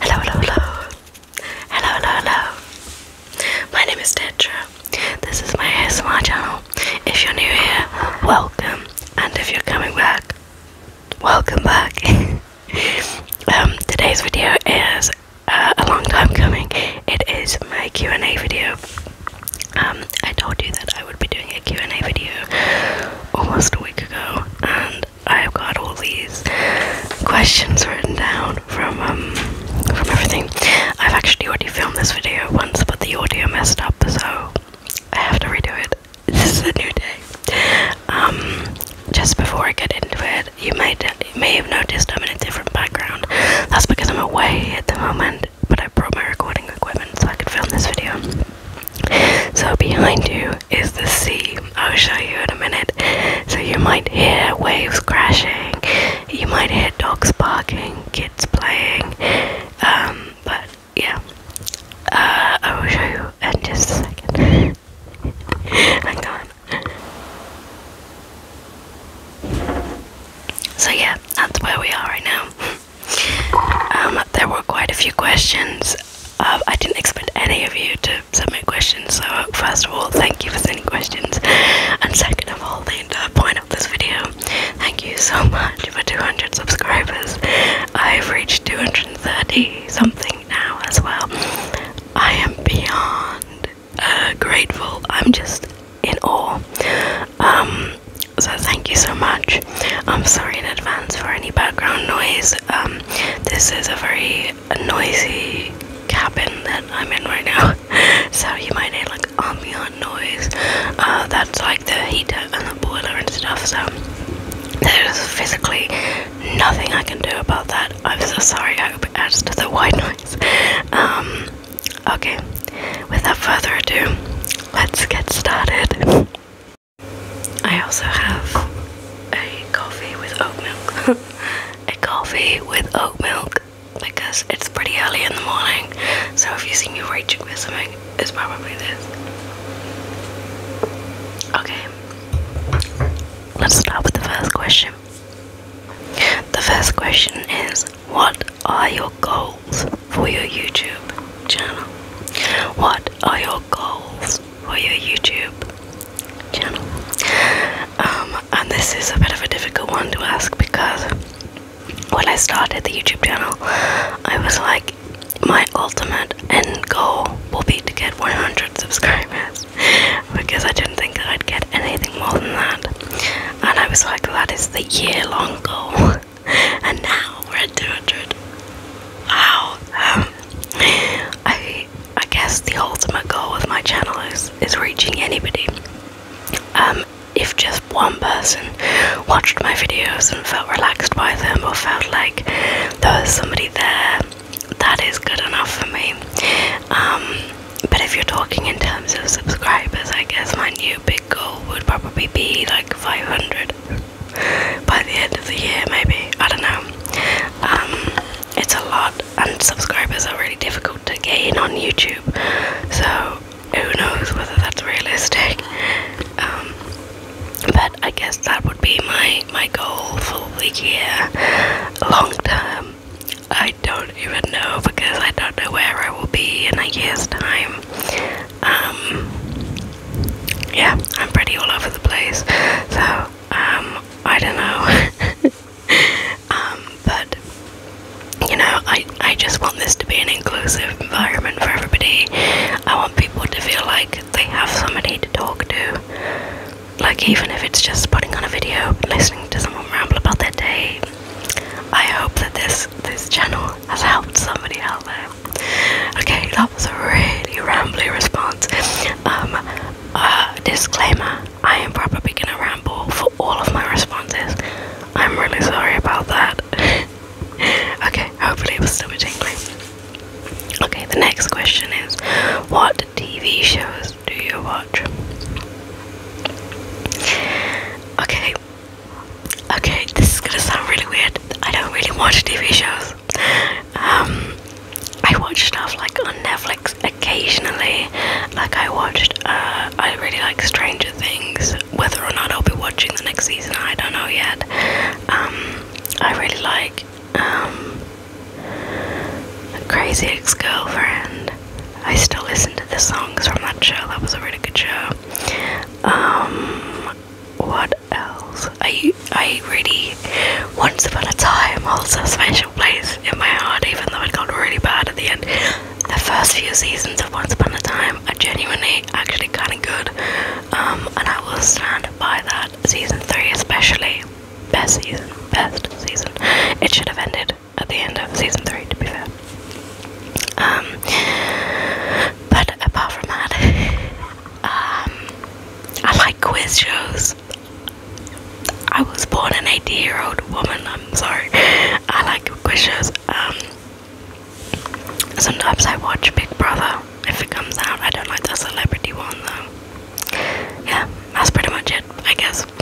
Hello, hello, hello. Hello, hello, hello. My name is Tetra. This is my ASMR channel. If you're new here, welcome. And if you're coming back, welcome back. um, today's video is uh, a long time coming. It is my Q&A video. Um, I told you that I would be doing a Q&A video almost a week ago, and I've got all these questions written down from um, from everything. I've actually already filmed this video once, but the audio messed up, so I have to redo it. This is a new day. Um, just before I get into it, you may may have noticed I'm in a different background. That's because I'm away at the moment, but I brought my recording equipment so I could film this video. So behind you is the sea. I'll show you in a minute. So you might hear waves crashing, you might hear dogs barking, kids playing. Um, but yeah, uh, I will show you in just a second. Hang on. So yeah, that's where we are right now. Um, there were quite a few questions um, I didn't expect any of you to submit questions. So first of all, thank you for sending questions, and second of all, the entire point of this video. Thank you so much for 200 subscribers. I've reached 230 something now as well. I am beyond uh, grateful. I'm just in awe. Um, so thank you so much. I'm sorry in advance for any background noise. Um, this is a very noisy cabin that I'm in right now, so you might hear like ambient noise. Uh, that's like the heater and the boiler and stuff. So there's physically nothing I can do about that. I'm so sorry. I hope it adds to the white noise. Um, okay, without further ado, let's get started. I also have a coffee with oat milk. a coffee with oat milk because it's pretty early in the morning. So if you see me reaching for something, it's probably this. Okay, let's start with the first question. The first question is What are your goals for your YouTube channel? What are your goals for your YouTube channel. Um, and this is a bit of a difficult one to ask because when I started the YouTube channel, I was like, my ultimate end goal will be to get 100 subscribers because I didn't think that I'd get anything more than that. And I was like, that is the year long goal. and now we're at 200. Wow. I I guess the ultimate goal with my channel is is reaching anybody. Um, if just one person watched my videos and felt relaxed by them or felt like there was somebody there, that is good enough for me. Um, but if you're talking in terms of subscribers, I guess my new big goal would probably be like 500 by the end of the year, maybe. I don't know. Um, it's a lot, and subscribers are really difficult to gain on YouTube, so who knows whether that's realistic. Um, but I guess that would be my, my goal for the year, long term. I don't even know because I don't know where I will be in a year's time. Um, yeah, I'm pretty all over the place. So, um, I don't know. Um, but you know, I I just want this to be an inclusive environment for everybody. I want people to feel like they have somebody to talk to. Like even if it's just putting on a video, listening to someone ramble about their day. I hope that this this channel has helped somebody out there. Okay, that was a really rambling response. Um, uh, disclaimer: I am probably gonna ramble for all of my responses. I'm really sorry about that. okay, hopefully it was still tingling. Okay, the next question is: What TV shows do you watch? Okay. Okay, this is gonna sound really weird. I don't really watch TV shows. Um, I watch stuff like on Netflix occasionally. Like I watched, uh, I really like Stranger Things. Whether or not I'll be watching the next season, I don't know yet. Um, I really like um, Crazy Ex-Girlfriend. I still listen to the songs from that show. That was a really good show. what else. I I really once upon a time holds a special place in my heart, even though it got really bad at the end. The first few seasons of Once Upon a Time are genuinely actually kind of good, um, and I will stand by that. Season three, especially, best season, best season. It should have ended at the end of season three, to be fair. Um, but apart from that, um, I like quiz shows. I was born an 80 year old woman, I'm sorry. I like quiz shows. Um, sometimes I watch Big Brother if it comes out. I don't like the celebrity one though. Yeah, that's pretty much it, I guess.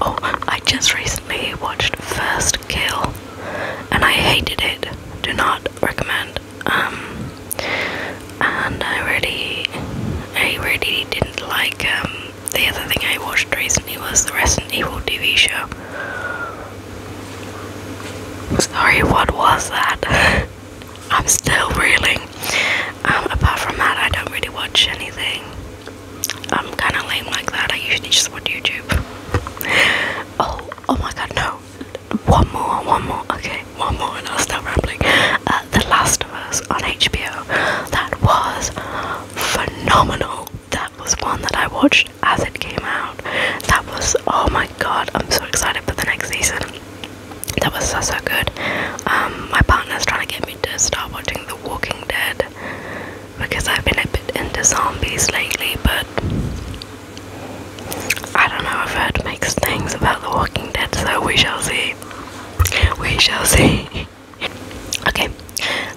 oh, I just recently watched First Kill and I hated it. Do not recommend. Um, and I really, I really didn't like. Um, the other thing I watched recently was the Resident Evil TV show. Sorry, what was that? I'm still reeling. Um, apart from that, I don't really watch anything. I'm kind of lame like that. I usually just watch YouTube. Oh, oh my god, no one more, one more, okay, one more, and I'll stop rambling. Uh, the Last of Us on HBO, that was phenomenal. That was one that I watched as it came out. That was, oh my god, I'm so excited for the next season. That was so, so good. Um, my partner's trying to get me to start watching The Walking Dead because I've been a bit into zombies lately, but I don't know, I've heard mixed things about The Walking Dead, so we shall see. We shall see. okay,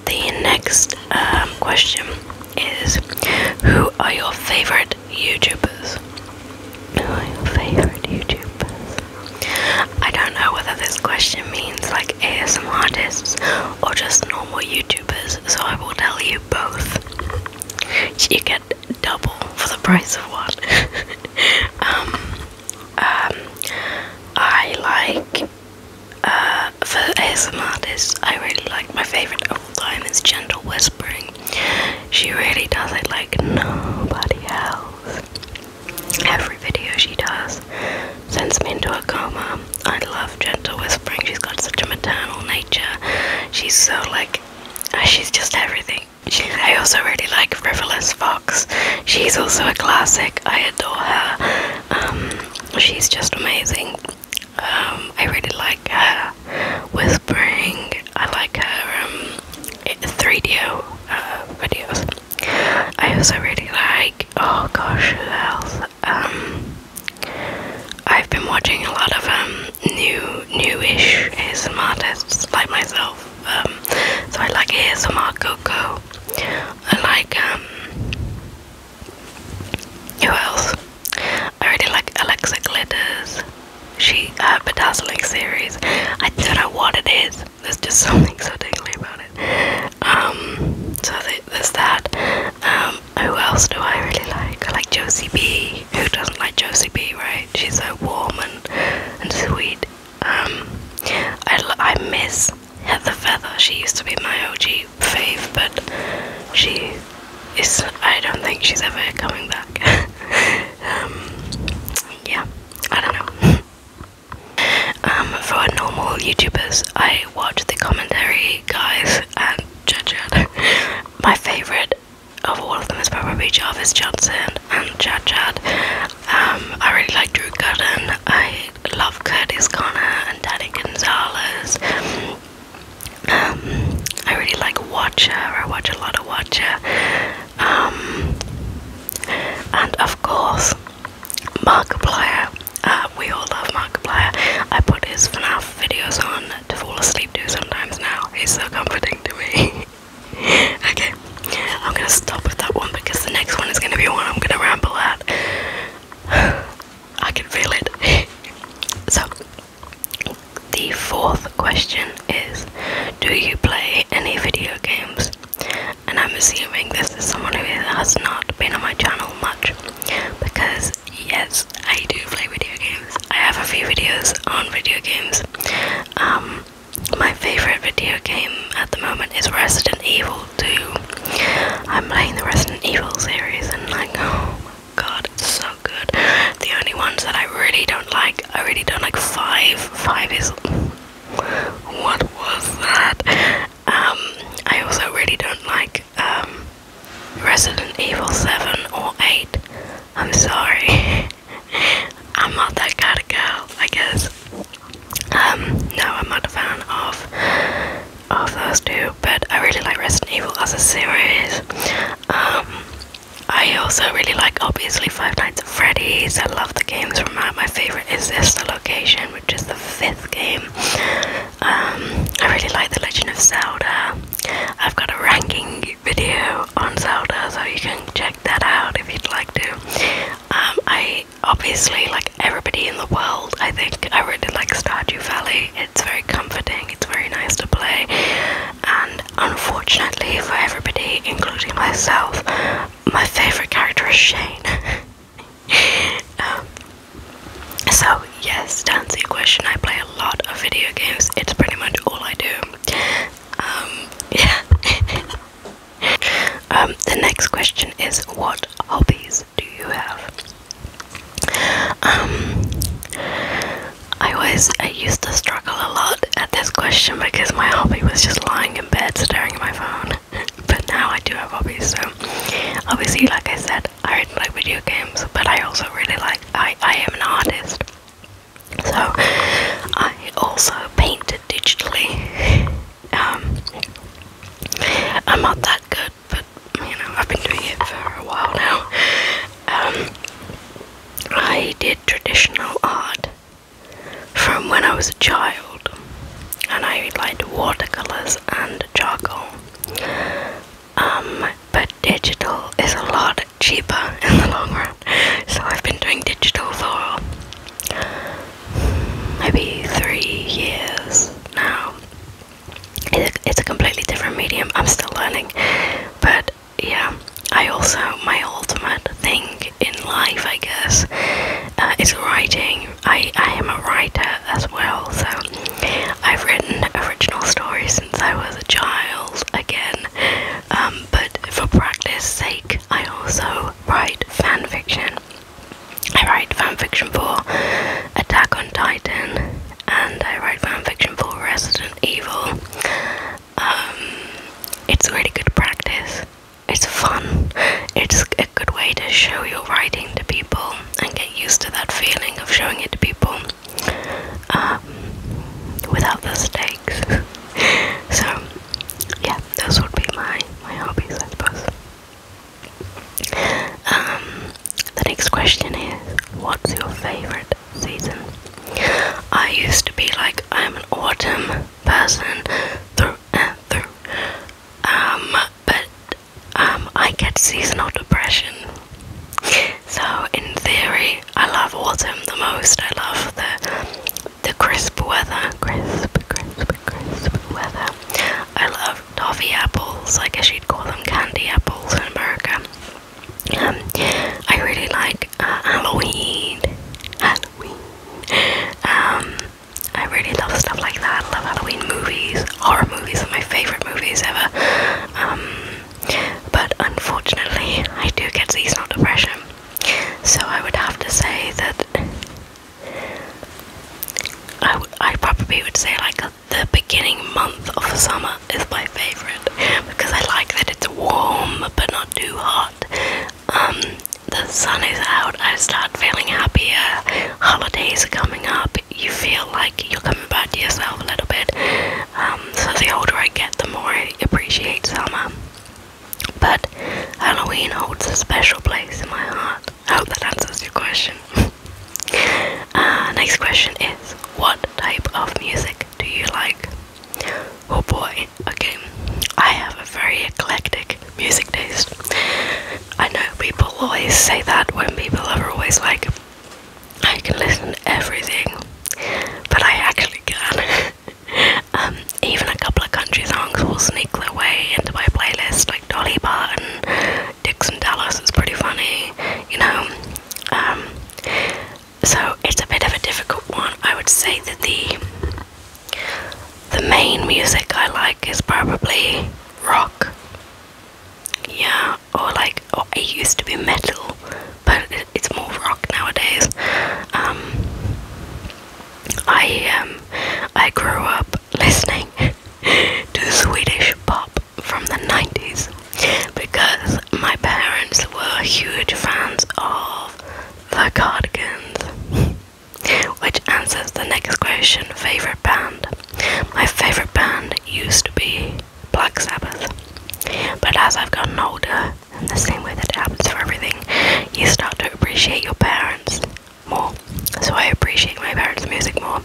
the next um, question is Who are your favorite YouTubers? Who are your favorite YouTubers? I don't know whether this question means like ASMR artists or just normal YouTubers, so I will tell you both. You get double for the price of one. um, um, I like uh, for ASMR artists, I really like my favorite of all time is Gentle Whispering. She really does it like nobody else. Every video she does sends me into a coma. I love Gentle Whispering. She's got such a maternal nature. She's so like, she's just everything. I also really like Frivolous Fox. She's also a classic. I adore her. Um, she's just amazing. Um, I really like her whispering. I like her um, 3 d uh, videos. I also really like. Oh gosh, who else? I've been watching a lot of um new newish ASMR artists like myself. Um, so I like ASMR Coco. I like um, who else? I really like Alexa Glitters. She her bedazzling series. I don't know what it is. There's just something so tingly about it. Um, so th there's that. Um, who else do I really like? I like Josie B. Who doesn't like Josie B, right? She's so warm and, and sweet. Um, I, I miss Heather Feather. She used to be my OG fave, but she is. I don't think she's ever coming back. Um, yeah, I don't know. Um, for normal YouTubers, I watch the commentary guys and judge it. my favorite of all of them is probably Jarvis Johnson and Chad Chad. Um, I really like Drew Gooden. I love Curtis Connor and Danny Gonzalez. Um, I really like Watcher. I watch a lot of Watcher. Um, and of course, Markiplier. Uh, we all love Markiplier. I put his FNAF videos on to fall asleep to sometimes now. He's so comforting to me. okay, I'm gonna stop with that one because the next one is gonna be one I'm gonna ramble at. I can feel it. so, the fourth question is Do you play any video games? And I'm assuming this is someone who has not been on my channel much because, yes, I do play video games. I have a few videos on video games. Um, my favorite video game at the moment is Resident Evil 2. I'm playing the Resident Evil series and like, oh god, it's so good. The only ones that I really don't like, I really don't like 5. 5 is... What was that? Um, I also really don't like um, Resident Evil 7 or 8. I'm sorry. I'm not that kind of girl, I guess. Um, no, I'm not a fan of of those two, but I really like Resident Evil as a series. Um, I also really like obviously Five Nights at Freddy's. I love the games from that. My favorite is this, the location, which is the fifth game. Um, I really like The Legend of Zelda. I've got a ranking video on Zelda, so you can check that out if you'd like to. Um, I obviously like everybody in the world. I think I really like Stardew Valley. It's very comforting. It's very nice to play. And unfortunately for everybody, including myself, my favorite character is Shane. Um, so yes, to answer your question, I play a lot of video games. It's pretty much all I do. Um, yeah. um, the next question is what hobbies do you have? Um, I always I used to struggle a lot at this question because my hobby was just lying in bed staring at my phone. but now I do have hobbies, so obviously, like I said, I really like video games, but I also really like I I am an artist. So I also painted digitally. Um, I'm not that good, but you know I've been doing it for a while now. Um, I did traditional art from when I was a child, and I liked watercolors and charcoal. Um, but digital is a lot cheaper in the long run. So I've been doing digital for maybe three years now. It's a, completely different medium. I'm still learning, but yeah. I also my ultimate thing in life, I guess, uh, is writing. I I am a writer as well, so I've written original stories since I was a child. Again, um, but for practice sake, I also write fan fiction. I write fan fiction for Attack on Titan, and I write fan fiction for Resident Evil. Um, it's really good practice. It's fun. It's a good way to show your writing to people and get used to that feeling of showing it to people um, without the stakes. so yeah, those would be my my hobbies, I suppose. Um, the next question is, what's your favorite season? I used to be like I'm an autumn person through and through, um, but um, I get seasonal depression. So in theory, I love autumn the most. I love the the crisp weather, crisp, crisp, crisp weather. I love toffee apples, I guess you'd call them candy apples in America. Um, I really like uh, Halloween. Halloween. Um, I really love stuff like that. I love Halloween movies. Horror movies are my favorite movies ever. Um, but unfortunately, I do get seasonal depression. So I would have to say that I, I probably would say like uh, the beginning month of summer is my favorite because I like that it's warm but not too hot. Um, the sun is out, I start feeling happier, holidays are coming up, you feel like you're coming back to yourself a little bit. Um, so the older I get, the more I appreciate summer. But Halloween holds a special place in my heart. I hope that answers your question. Uh, next question is What type of music do you like? Oh boy, okay. I have a very eclectic music taste. I know people always say that when people are always like, I can listen to everything, but I actually can. Um, even a couple of country songs will sneak their way into my playlist, like Dolly Parton, Dixon Dallas is pretty funny, you know. Um, so it's a bit of a difficult one. I would say that the the main music I like is probably rock. Yeah, or like it used to be metal, but it's more rock nowadays. Um, I um, I grew up listening to Swedish pop from the 90s because my parents were huge fans of the Cardigans. Which answers the next question favorite band. My favorite band used to be Black Sabbath, but as I've gotten older, in the same way that happens for everything, you start to appreciate your parents more. So I appreciate my parents' music more.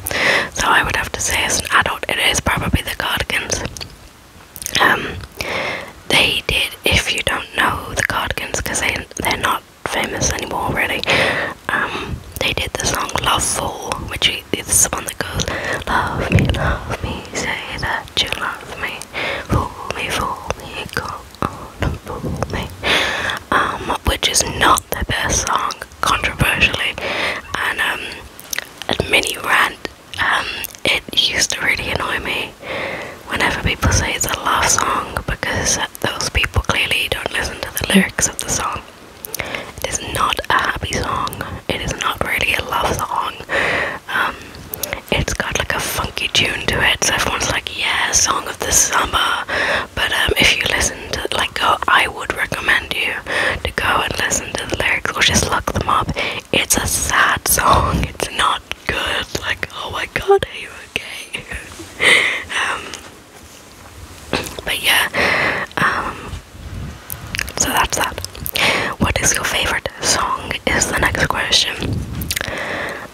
So I would have to say, as an adult, it is probably the Cardigans. Um, they did. If you don't know the Cardigans, because they they're not famous anymore, really. Um, they did the song "Love Fool," which is the one that goes, "Love me, love me, say that you love me." fool me, fool me, go on, fool me. Um, which is not the best song, controversially, and um, a mini rant. Um, it used to really annoy me whenever people say it's a love song because those people clearly don't listen to the lyrics of the song. It is not a happy song. It is not really a love song it's got like a funky tune to it, so everyone's like, yeah, song of the summer. But um, if you listen to like go, I would recommend you to go and listen to the lyrics or just look them up. It's a sad song. It's not good. Like, oh my god, are you okay? um, but yeah, um, so that's that. What is your favorite song? Is the next question.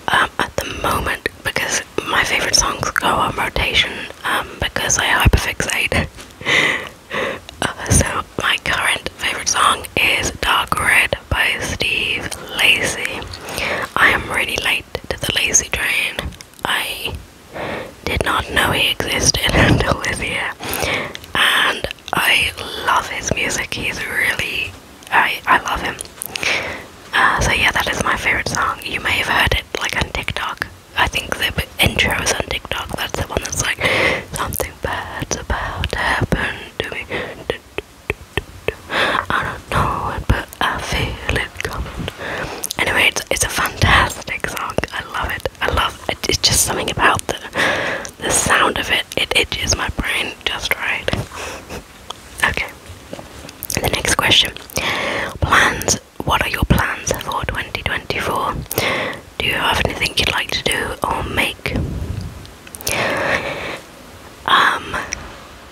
Um, at the moment because my favorite songs go on rotation um, because I hyperfixate. Uh, so my current favorite song is Dark Red by Steve Lacy. I am really late to the Lazy Train. I did not know he existed until this year, and I love his music. He's really I I love him. Uh, so yeah, that is my favorite song. You may have heard it like on TikTok. I think the intro is on TikTok. That's the one that's like something bad's about to happen to me. I don't know but I feel it coming. Anyway, it's it's a fantastic song. I love it. I love it. It's just something about the the sound of it, it itches my brain just right. okay. The next question. Plans. What are your plans for 2024? Do you have anything you'd like to do or make? Um,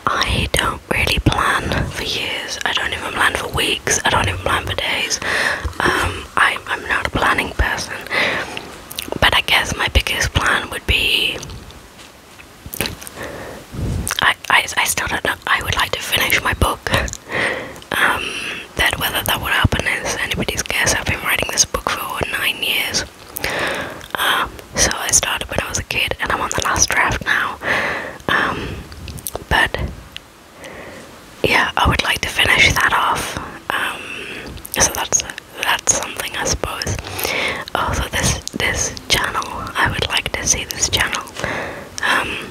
I don't really plan for years. I don't even plan for weeks. I don't even plan for days. Um, I, I'm not a planning person. But I guess my biggest plan would be I, I, I still don't know. I would like to finish my book. um, that whether that would happen is anybody's guess. I've been writing this book for nine years. Um, so I started when I was a kid, and I'm on the last draft now. Um, but yeah, I would like to finish that off. Um, so that's that's something I suppose. Also, this this channel, I would like to see this channel um,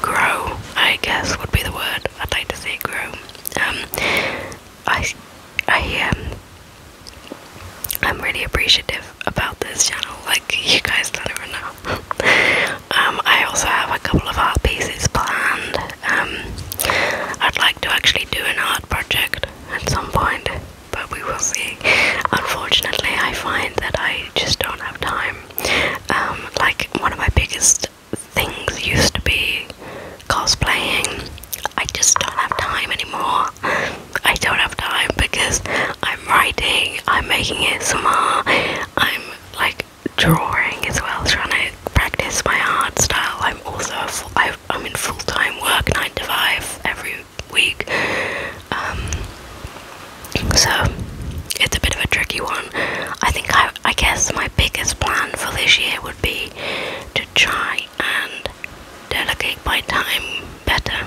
grow. I guess would be the word. I'd like to see it grow. Um, I I um, I'm really appreciative about this channel. Like you guys don't know. Um, I also have a couple of art pieces planned. I'd like to actually do an art project at some point, but we will see. Unfortunately, I find that I just don't have time. Um, like, one of my biggest things used to be cosplaying. I just don't have time anymore. I don't have time because I'm writing, I'm making it ASMR, I'm like drawing as well, trying to practice my art style. I'm also a, I I'm in full time work, nine to five every week. Um, so it's a bit of a tricky one. I think I, I guess my biggest plan for this year would be to try and delegate my time better,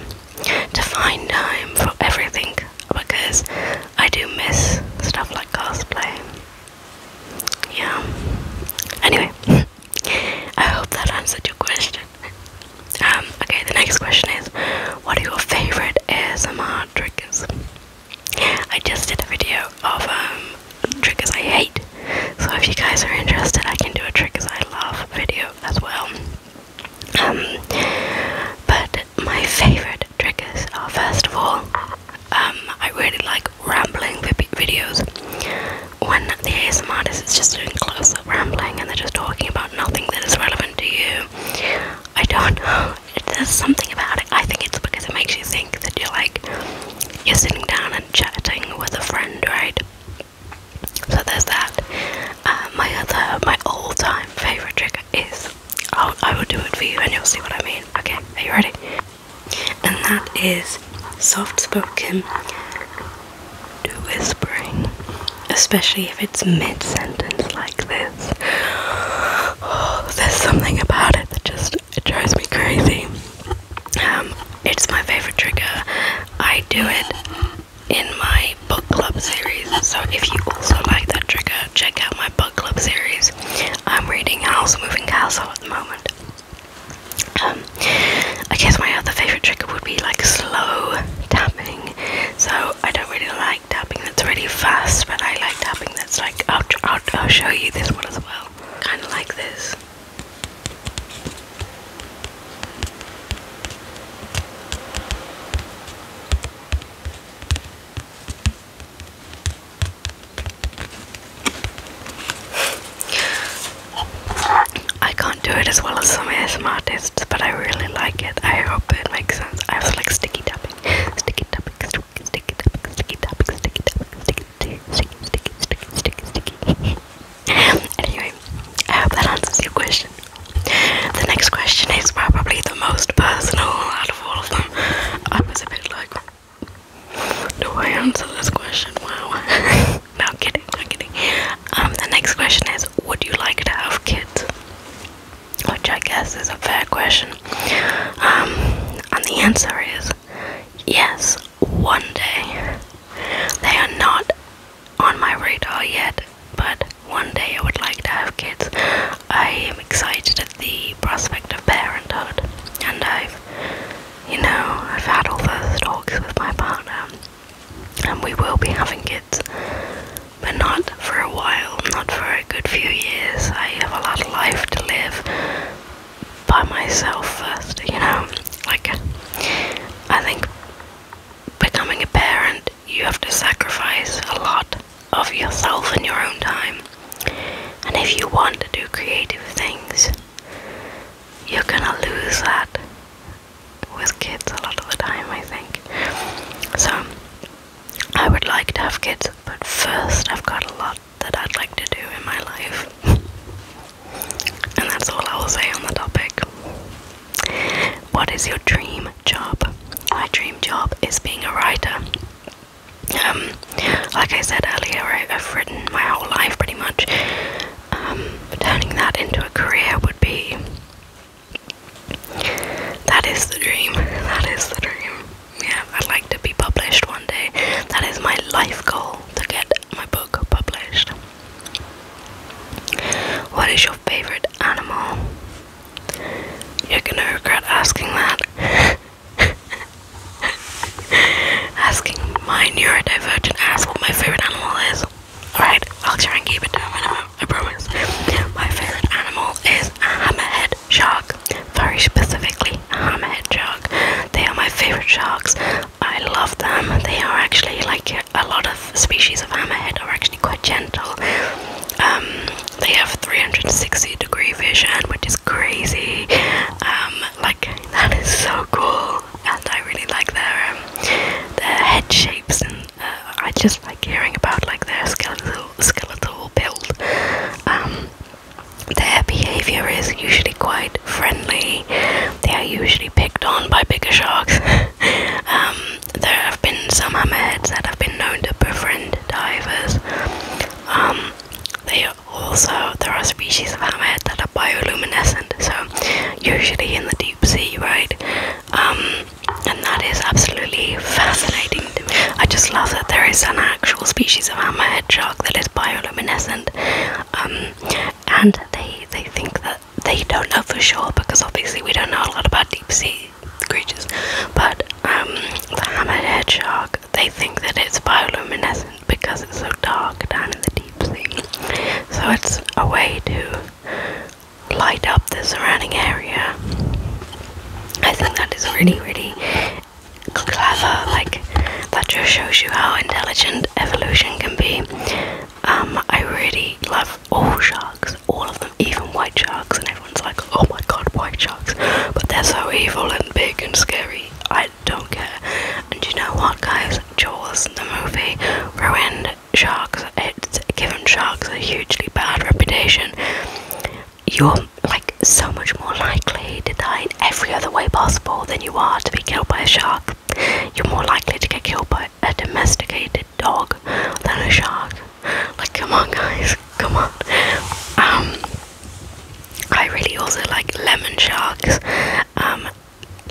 to find time for everything because I do miss stuff like cosplay. Yeah. Anyway, I hope that answered your question. Um, okay, the next question is What are your favorite ASMR triggers? I just did a video of um, triggers I hate, so if you guys are interested, I can do a triggers I love video as well. Um, but my favorite triggers are first of all, um, I really like rambling videos when the ASMR is just doing close up rambling and they're just talking about nothing that is relevant to you, I don't know. There's something about it. I think it's because it makes you think that you're like, you're sitting down and chatting with a friend, right? So there's that. Uh, my other, my all time favourite trigger is. I will do it for you and you'll see what I mean. Okay, are you ready? and that is soft spoken whispering, especially if it's mid sentence like this. there's something about it that just drives me crazy. Um, it's my favorite trigger. I do it in my book club series, so if you also like that trigger, check out my book club series. I'm reading House of Moving Castle at the moment. Um, I guess my other favourite trick would be like slow tapping. So I don't really like tapping that's really fast, but I like tapping that's like, I'll, I'll, I'll show you this one as well. Kind of like this. I can't do it as well as some ASM artists, but I really like it. I hope it makes sense. I also like sticky tapping. Sticky tapping, sticky, sticky tapping, sticky tapping, sticky tapping, sticky, sticky, sticky, sticky, sticky, sticky. anyway, I hope that answers your question. The next question is probably the most personal out of all of them. I was a bit like, do I answer this question? Wow. no kidding, no kidding. Um, the next question is would you like to have kids? Which I guess is a fair question. Um, and the answer is yes, one day. They are not on my radar yet, but one day I would like to have kids. I am excited at the prospect of parenthood and I've you know, I've had all those talks with my partner, and we will be having kids, but not for a while, not for a good few years. I have a lot of life to live by myself first, you know. Like, I think becoming a parent, you have to sacrifice a lot of yourself and your own time. And if you want to do creative things, you're gonna lose that with kids a lot of the time, I think. So, I would like to have kids, but first, I've got a lot that I'd like to do in my life. and that's all I will say on the topic. What is your dream job? My dream job is being a writer. Um, like I said earlier, I've written my whole life pretty much, um, turning that into a career would be that is the dream. That is the dream. Yeah, I'd like to be published one day. That is my life goal to get my book published. What is your favorite animal? You're gonna regret asking that. asking my neurodivergent ass what my favorite animal is. Alright, I'll try and keep it down. a minimum, I promise. My favorite animal is a hammerhead shark. Very specifically, a hammerhead shark. They are my favorite sharks. I love them. They are actually like a lot of species of hammerhead are actually quite gentle. Um, they have 360 degree vision, which is crazy. Um, like that is so cool and I really like their um, their head shapes, and uh, I just like hearing about like their skeletal skeletal build. Um, their behavior is usually quite friendly. They are usually picked on by bigger sharks. Um, there have been some hammerheads that have been known to befriend divers. they are also there are species of hammerhead that are bioluminescent, so usually in the deep sea, right? Um, and that is absolutely fascinating I just love that there is an actual species of hammerhead shark that is bioluminescent, um, and they they think that they don't know for sure because obviously we don't know a lot about deep sea creatures, but um, the hammerhead shark they think that it's bioluminescent because it's so dark down in the deep sea. So it's a way to light up the surrounding area. I think that is really, really clever. Like, that just shows you how intelligent evolution can be. Um, I really love all sharks, all of them, even white sharks, and everyone's like, oh my god, white sharks, but they're so evil and big and scary don't care. And you know what, guys? Jaws, the movie, ruined sharks. It's given sharks a hugely bad reputation. You're like so much more likely to die in every other way possible than you are to be killed by a shark. You're more likely to get killed by a domesticated dog than a shark. Like, come on, guys, come on. Um, I really also like lemon sharks. Um,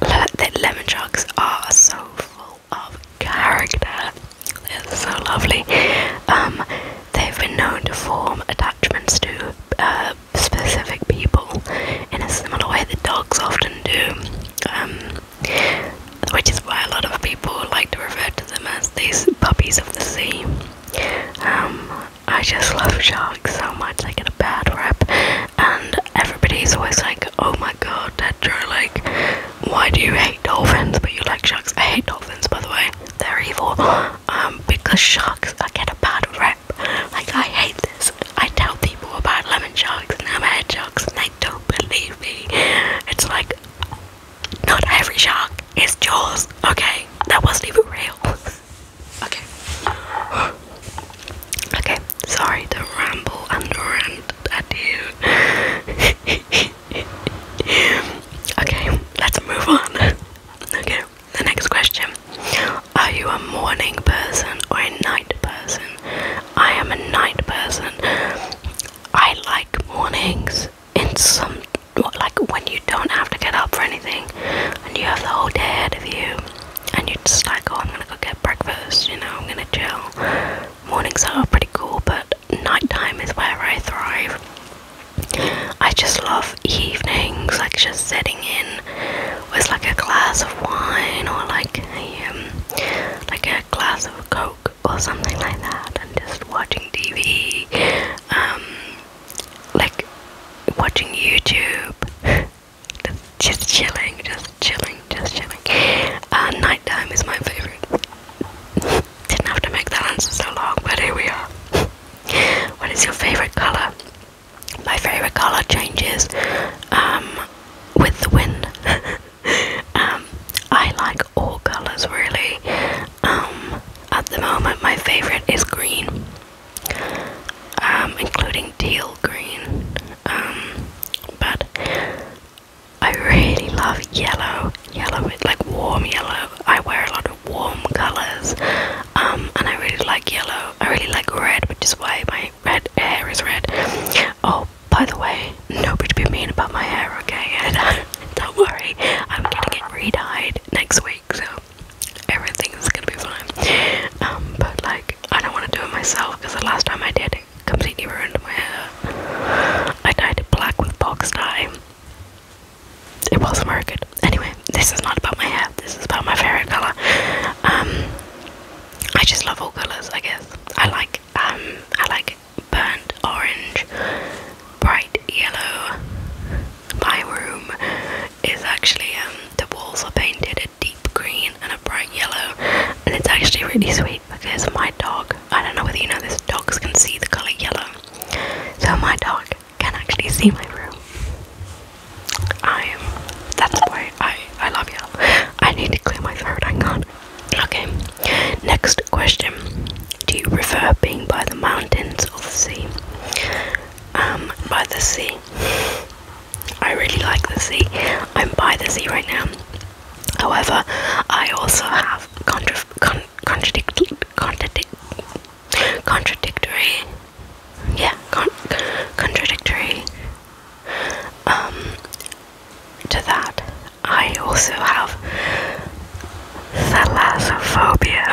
le that lemon sharks are so full of character. They're so lovely. Um, they've been known to form attachments to uh, specific people in a similar way that dogs often do, um, which is why a lot of people like to refer to them as these puppies of the sea. Um, I just love sharks like so much, they get a bad rep, and everybody's always like, "Oh my God, Dad like, why do you hate dolphins?" But you like sharks. I hate dolphins, by the way. They're evil. Um, because sharks, I get a bad rep. Like, I hate this. I tell people about lemon sharks and hammerhead sharks, and they don't believe me. It's like, not every shark is Jaws. Okay, that wasn't even real. okay. Okay, sorry to ramble and rant at you. okay, let's move on. Okay, the next question. Are you a morning person or a night person? I am a night person. I like mornings in some like when you don't have to get up for anything and you have the whole day ahead of you and you're just like, oh, I'm gonna go get breakfast, you know, I'm gonna chill. Mornings are pretty cool, but nighttime is where I thrive. I just love evenings, like just sitting in with like a glass of wine or like a um, like a glass of coke or something like that, and just watching TV, um, like watching YouTube just chilling, just chilling, just chilling. Uh, nighttime is my favorite. Didn't have to make that answer so long, but here we are. what is your favorite color? My favorite color changes um, with the wind. Um, I like all colors really. Um, at the moment, my favorite is green, including teal green. Um, but I really love yellow. Yellow, like warm yellow. I wear a lot of warm colors, um, and I really like yellow. I really like red, which is why my red hair is red. Oh, by the way, nobody be mean about my hair, okay? Don't, don't worry, I'm gonna get re-dyed next week, so everything is gonna be fine. Um, but like, I don't want to do it myself because the last time I did it completely ruined my hair. I dyed it black with box dye. It wasn't very good. Anyway, this is not about my hair. This is about my favorite color. Um, I just love all colors. I guess I like um I like burnt orange, bright yellow. My room is actually um the walls are painted deep green and a bright yellow, and it's actually really sweet because my dog, I don't know whether you know this, dogs can see the colour yellow, so my dog can actually see my room. I am, that's why I, I love yellow. I need to clear my throat, I can Okay, next question. Do you prefer being by the mountains or the sea? Um, by the sea. I really like the sea. I'm by the sea right now. However, I also have contradictory, yeah, contradictory. Um, to that, I also have thalassophobia,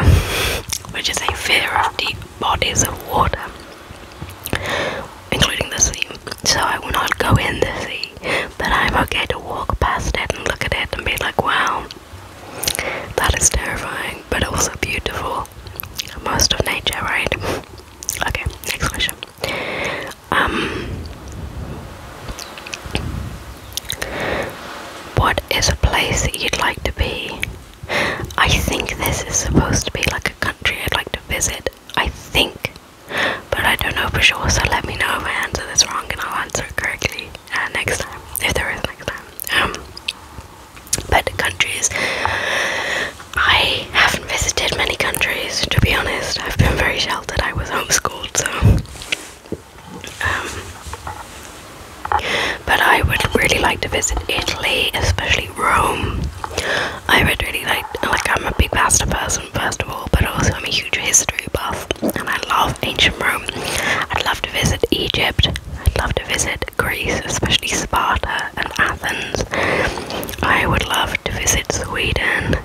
which is a fear of deep bodies of water including the sea. So I will not go in the sea, but I'm okay to walk past it and look at it and be like, wow, that is terrifying, but also beautiful. Most of nature, right? Okay, next question. Um, what is a place that you'd like to be? I think this is supposed to be like a country I'd like to visit. I think. But I don't know for sure, so let me know if I answer this wrong and I'll answer it correctly uh, next time, if there is next time. Um, but countries, I haven't visited many countries to be honest. I've been very sheltered. I was homeschooled, so. Um, but I would really like to visit Italy, especially Rome. I read really late. like I'm a big pasta person first of all, but also I'm a huge history buff, and I love ancient Rome. I'd love to visit Egypt. I'd love to visit Greece, especially Sparta and Athens. I would love to visit Sweden.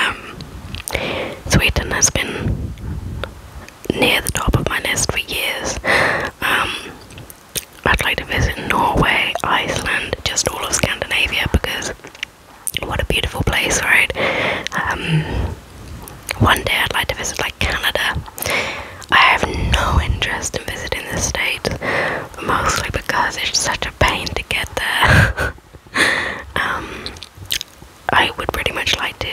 Um, Sweden has been near the top of my list for years. Um, I'd like to visit Norway, Iceland, just all of Scandinavia because what a beautiful place, right? Um, one day I'd like to visit like Canada. I have no interest in visiting the state, mostly because it's such a pain to get there. Um, I would pretty much like to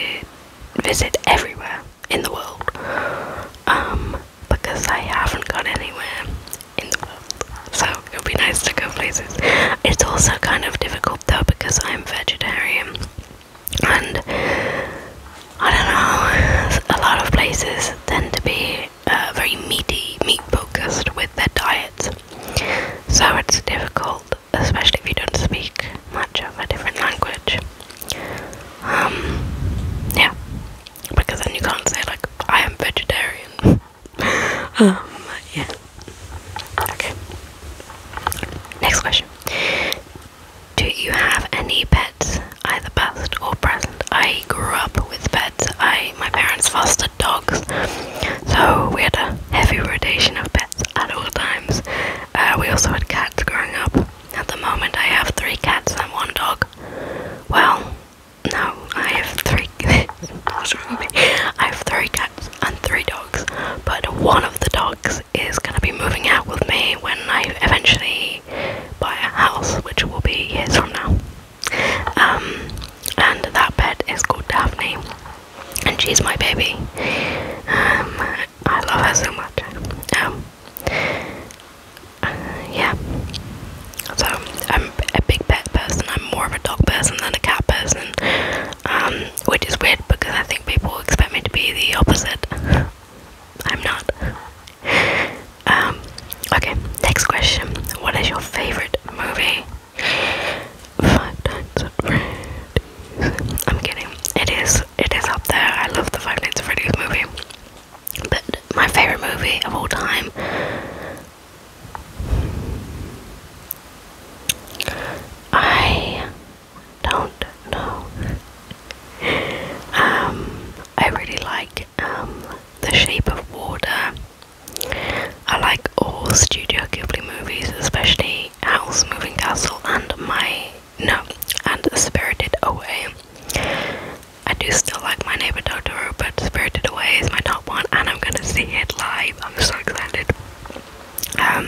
visit everywhere in the world um, because I haven't gone anywhere so it would be nice to go places. It's also kind of difficult though because I'm vegetarian and I don't know, a lot of places tend to be uh, very meaty, meat focused with their diets. So it's difficult, especially if you don't speak much of a different language. Um, yeah, because then you can't say, like, I am vegetarian. um, yeah. Okay. Next question. Do you have any pets, either past or present? I grew up with pets. I my parents fostered dogs, so we had a heavy rotation of pets at all times. Uh, we also had cats growing up. At the moment, I have three cats and one dog. Well, now I have three I have three cats and three dogs, but one of the dogs is gonna be moving out with me when I eventually buy a house, which will be years from now. Um, and that pet is called Daphne, and she's my baby. Um, I love her so much. Um, uh, yeah, so I'm a big pet person. I'm more of a dog person than a cat person, um, which is weird because I think people expect me to be the opposite. I'm not. Um, okay, next question. What is your favorite movie? Five Nights at Freddy's. I'm kidding. It is. It is up there. I love the Five Nights at Freddy's movie. But my favorite movie of all time I don't know. um, I really like um, the shape of water. I like all Studio Ghibli movies, especially House Moving Castle and my no and Spirited Away. I do still like my neighbor Totoro, but Spirited Away is my top one, and I'm gonna see it live. I'm so excited. Um,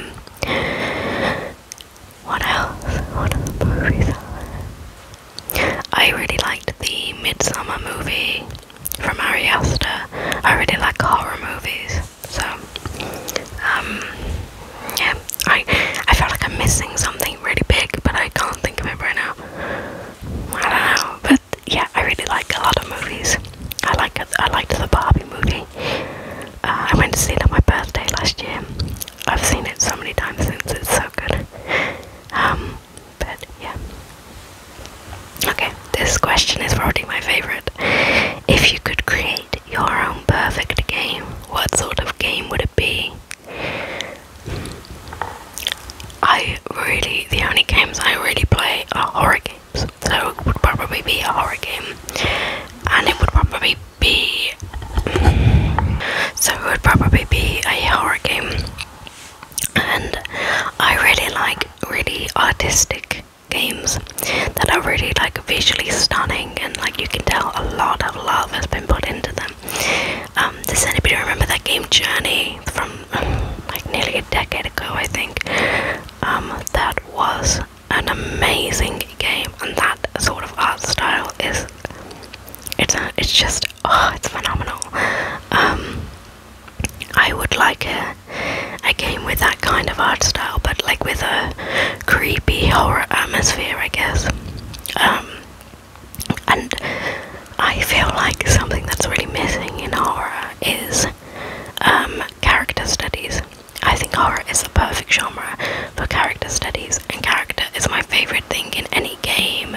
what else? What other movies? I really liked the Midsummer movie from Ari Aster. I really like horror movies, so um, yeah. I I feel like I'm missing something really big, but I can't think of it right now. I don't know, but yeah, I really like a lot of movies. I like I liked the Barbie movie. Uh, I went to see it on my birthday last year. I've seen it so many times since. It's so good. Um, but yeah. Okay, this question is probably my favorite. If you could create your own perfect game, what sort of game would it be? I really, the only games I really play are horror games, so it would probably be a horror game, and it would probably be, mm, so it would probably be a horror game, and I really like really artistic games that are really like visually stunning and like you can tell a lot of love has been put into them. Um, does anybody remember that game Journey? from um, like nearly a decade ago, I think. Um, that was an amazing game, and that sort of art style is it's it's just oh, it's phenomenal. Um, I would like a a game with that kind of art style, but like with a creepy horror atmosphere, I guess. and I feel like something that's really missing in horror is um, character studies. I think horror is the perfect genre for character studies, and character is my favorite thing in any game,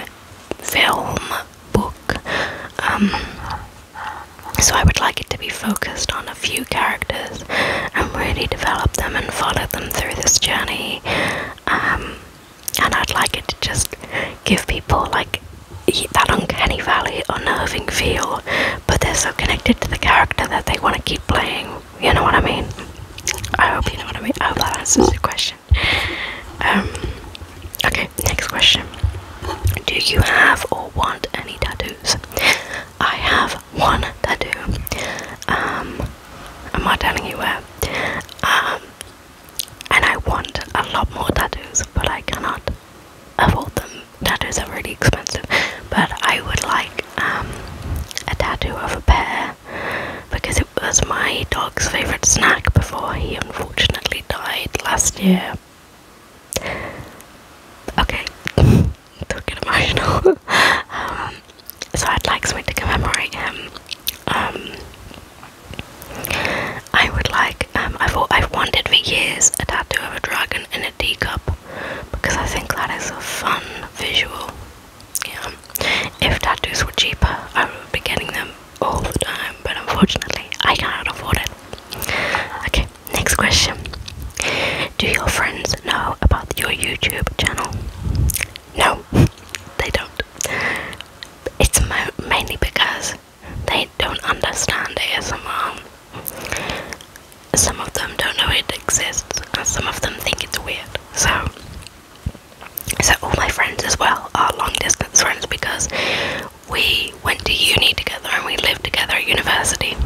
film, book. Um, so I would like it to be focused on a few characters and really develop them and follow them through this journey. Um, and I'd like it to just give people like that uncanny valley, unnerving feel, but they're so connected to the character that they want to keep playing. You know what I mean? I hope you know what I mean. I hope that answers your question. Um, okay, next question. Do you have or want any tattoos? I have one tattoo. Um, I'm not telling you where. Um, and I want a lot more tattoos, but I cannot afford them. Tattoos are really expensive, but I would like um, a tattoo of a bear because it was my dog's favorite snack before he unfortunately died last year. Okay, don't get emotional. Um, so I'd like something to commemorate him. Um, I would like, um, I've, wanted for years a tattoo of a dragon in a teacup because I think that is a fun visual. Yeah. If tattoos were cheaper, I would be getting them all the time, but unfortunately, I cannot afford it. Okay, next question. Do your friends know about your YouTube channel? No, they don't. It's mainly because they don't understand ASMR. Some of them don't know it exists, and some of them think it's weird. So, so all my friends as well are long distance friends because we went to uni together and we lived together university.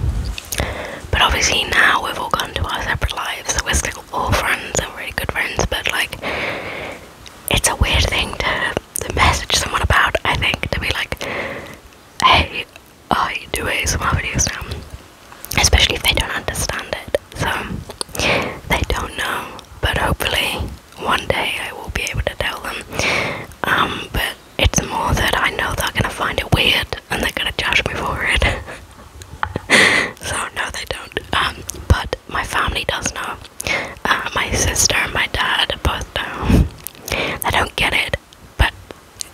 But obviously now we've all gone to our separate lives, so we're still all friends and really good friends. But like, it's a weird thing to to message someone about, I think, to be like, hey, I do a lot of videos now. Especially if they don't understand it. So, they don't know. But hopefully, one day I will be able to tell them. Um, but it's more that I know they're gonna find it weird and they're gonna judge me for it. so, no, they don't. Um, but my family does know. Uh, my sister and my dad both know. I don't get it, but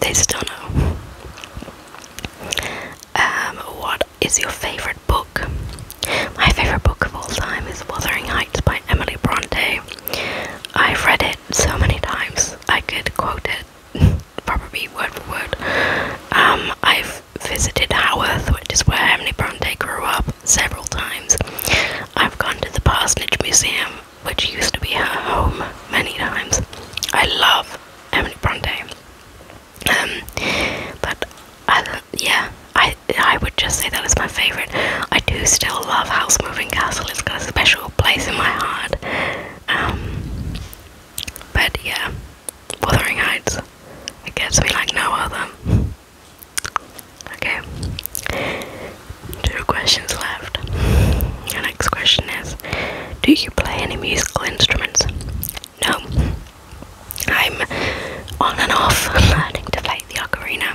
they still know. Um, what is your favorite book? My favorite book of all time is Wuthering Heights by Emily Bronte. I've read it so many times, I could quote it probably word for word. Um, I've visited Haworth, which is where Emily Bronte grew up, several times. I've gone to the Parsonage Museum, which used to be her home, many times. I love Emily Bronte. Um, but I, yeah, I I would just say that is my favorite. I do still love House Moving Castle. It's got a special place in my heart. Um, but yeah, Wuthering Heights. It gets me like no other. Okay. Two questions left. The next question is Do you play any musical instruments? No. I'm on and off learning to play the ocarina.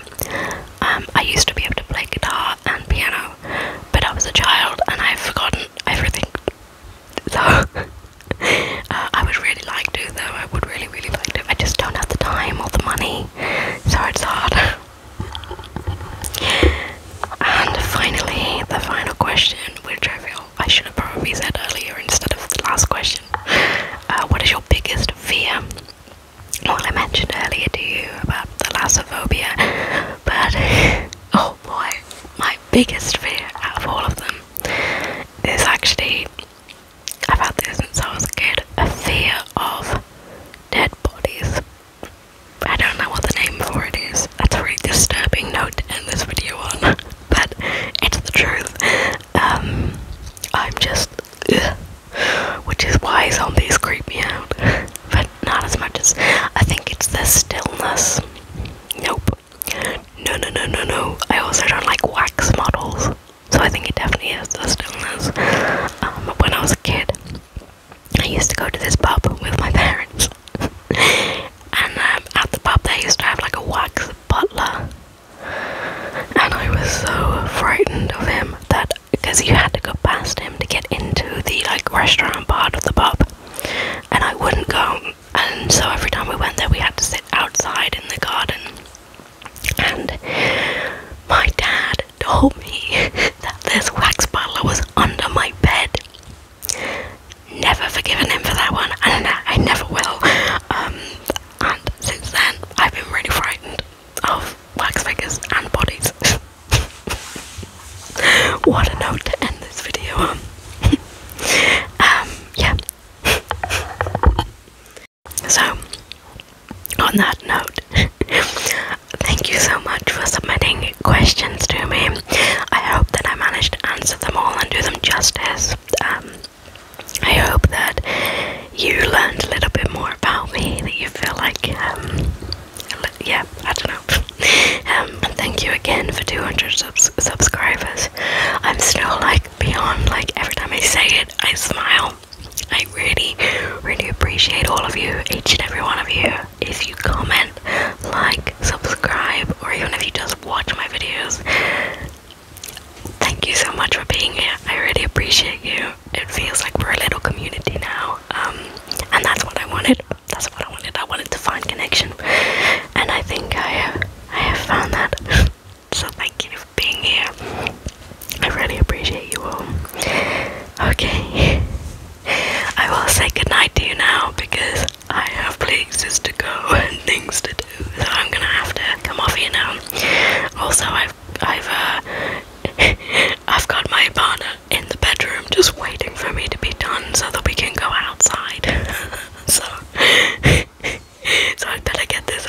Um, I used to be able to play guitar and piano, but I was a child and I've forgotten everything. So, uh, I would really like to, though. I would really, really like to. I just don't have the time or the money me, so it's hard. and finally, the final question, which I feel I should have probably said earlier instead of last question. Uh, what is your biggest fear? Well, I mentioned earlier to you about the thalassophobia, but oh boy, my biggest fear out of all of them is actually I've had this since I was a kid. A fear of dead bodies. I don't know what the name for it is. That's a really disturbing note to end this video on, but it's the truth. Um, I'm just, which is why zombies creep me out, but not as much as I think it's the stillness. Nope. No, no, no, no, no. I also don't like wax models. So I think it definitely is those illness. Um, when I was a kid, I used to go to this pub with my parents, and um, at the pub they used to have like a wax butler, and I was so frightened of him that because you had to go past him to get into the like restaurant part of the pub, and I wouldn't go. And so every time we went there, we had to sit outside in the garden and my dad told me that this wax bottle was under my bed. Never forgiven him for that one, and I never will. Um, and since then, I've been really frightened of wax figures and bodies. what a note to end this video on. um, yeah. So, on that note, thank you so much for submitting questions to me. I hope that I managed to answer them all and do them justice. Um, I hope that you learned a little bit more about me, that you feel like, um, yeah, I don't know. Um, thank you again for 200 subscribers. I'm still like beyond, like, every time I say it, I smile. I really, really appreciate all of you, each and every one of you. If you comment, like, subscribe, or even if you just watch my videos, thank you so much for being here. I really appreciate you. It feels like we're a little community now, um, and that's what I wanted. That's what I wanted. I wanted to find connection, and I think I have, I have found that. so thank thank you for being here. I really appreciate you all. Okay. I will say goodnight to you now because I have places to go and things to do, so I'm gonna have to come off here now. Also, I've I've uh, I've got my partner in the bedroom just waiting for me to be done so that we can go outside. so so I better get this